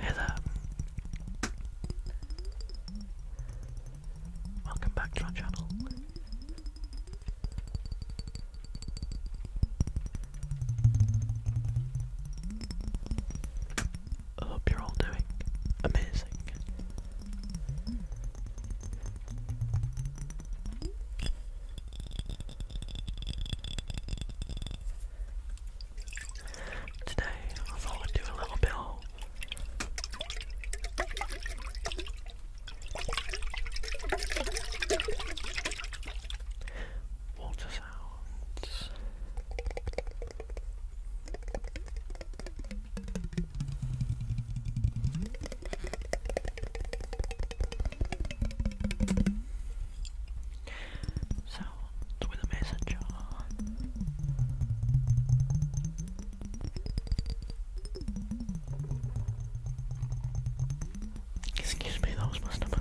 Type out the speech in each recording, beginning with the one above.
Hey Welcome back to our channel. I hope you're all doing amazing. Today, I thought we'd do a little bit water sounds. Sounds with a messenger. Excuse me, that was my stomach.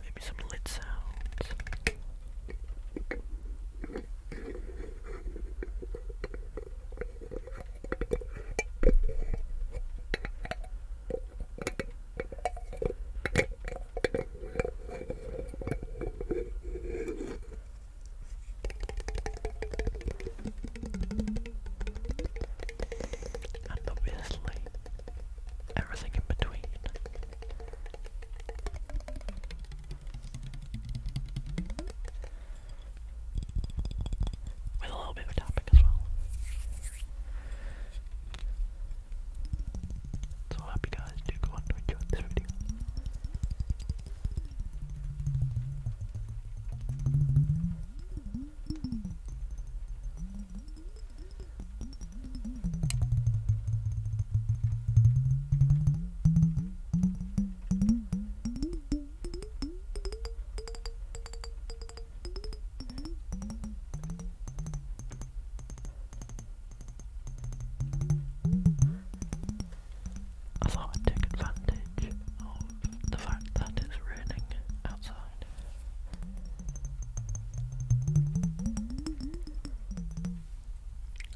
Maybe some lit sounds. And obviously, everything in between. With a little bit of tapping as well. So I you guys do go on enjoy this video. I thought I'd take advantage of the fact that it's raining outside.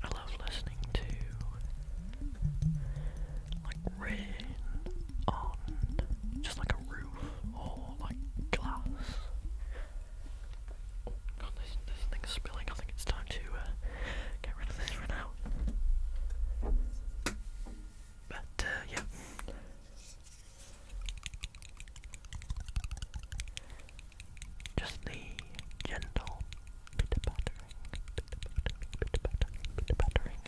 I love listening to like rain on just like a roof or like glass. god, this, thing's spilling. I think it's time to uh, get rid of this for now. But uh, yeah, just the gentle bit of battering, bit of battering, bit of battering,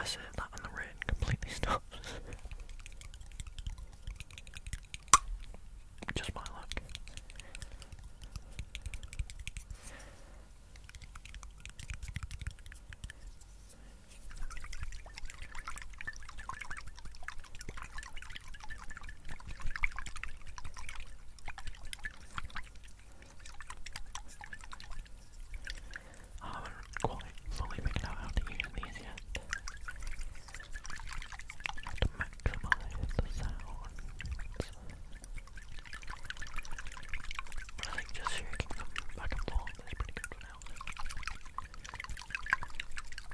I said that on the red, completely stops. Just my luck. I haven't quite fully figured out how to use these yet. How to maximise the sounds. But I think just shaking them back and forth is pretty good for now.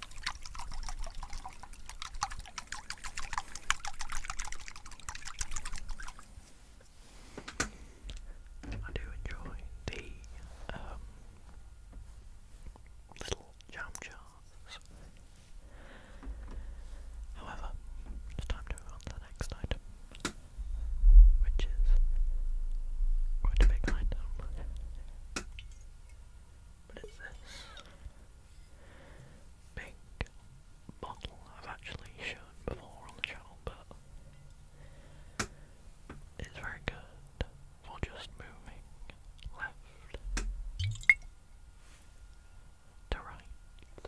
I do enjoy the um, little jam jars. However, it's time to move on to the next item, which is quite a big item. What is this? Pink bottle I've actually shown before on the channel, but it's very good for just moving left to right.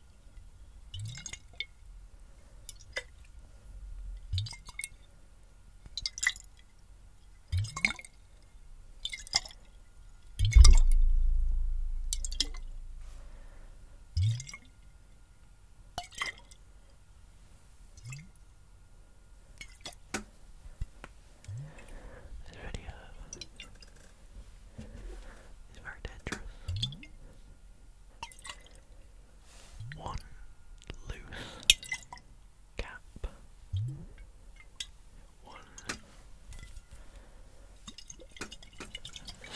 This video it's very dangerous. One loose cap. One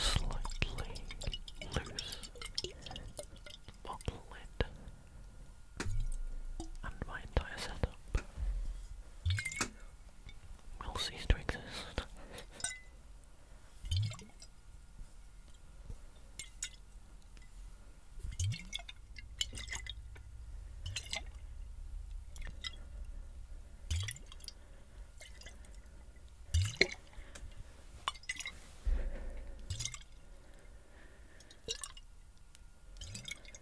slightly loose bottle lid. And my entire setup will cease to exist.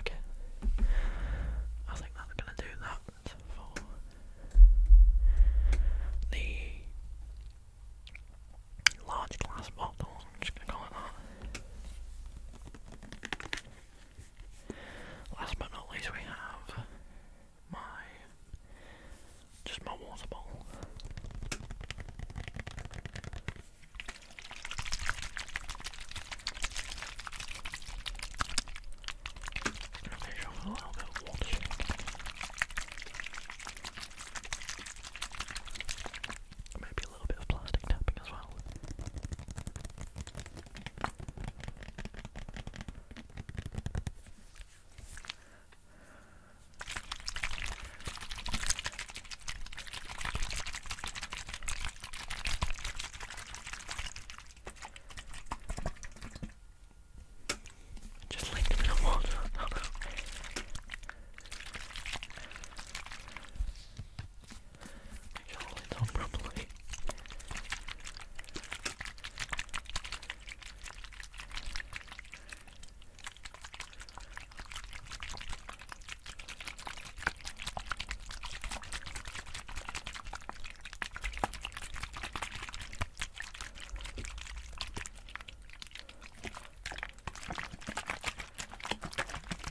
Okay. I think that's gonna do that for the large glass bottle, just gonna call it that. Last but not least, we have my just my water bottle. Okay, a little bit of water. Maybe a little bit of plastic tapping as well. Just linked in the wall. Make sure the lid's on properly.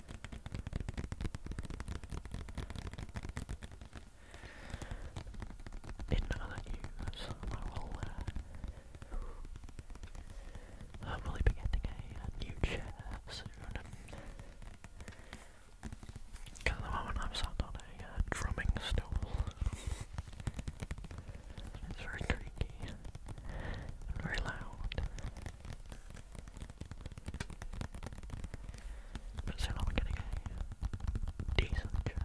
In other news, I will, uh, be getting a, new chair soon. Because the moment I'm sat on a uh, drumming stool. It's very creaky and very loud. But soon I'm getting a decent chair.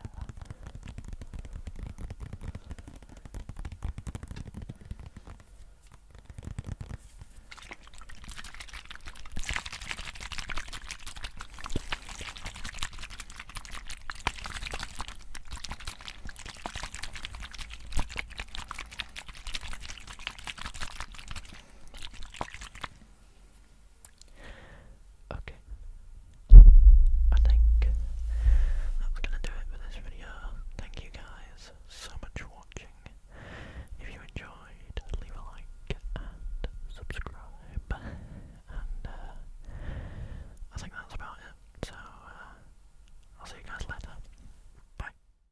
Okay. I think that's gonna do it for this video. Thank you guys so much for watching. If you enjoyed, leave a like and subscribe. And uh, I think that's about it. So uh, I'll see you guys later. Bye.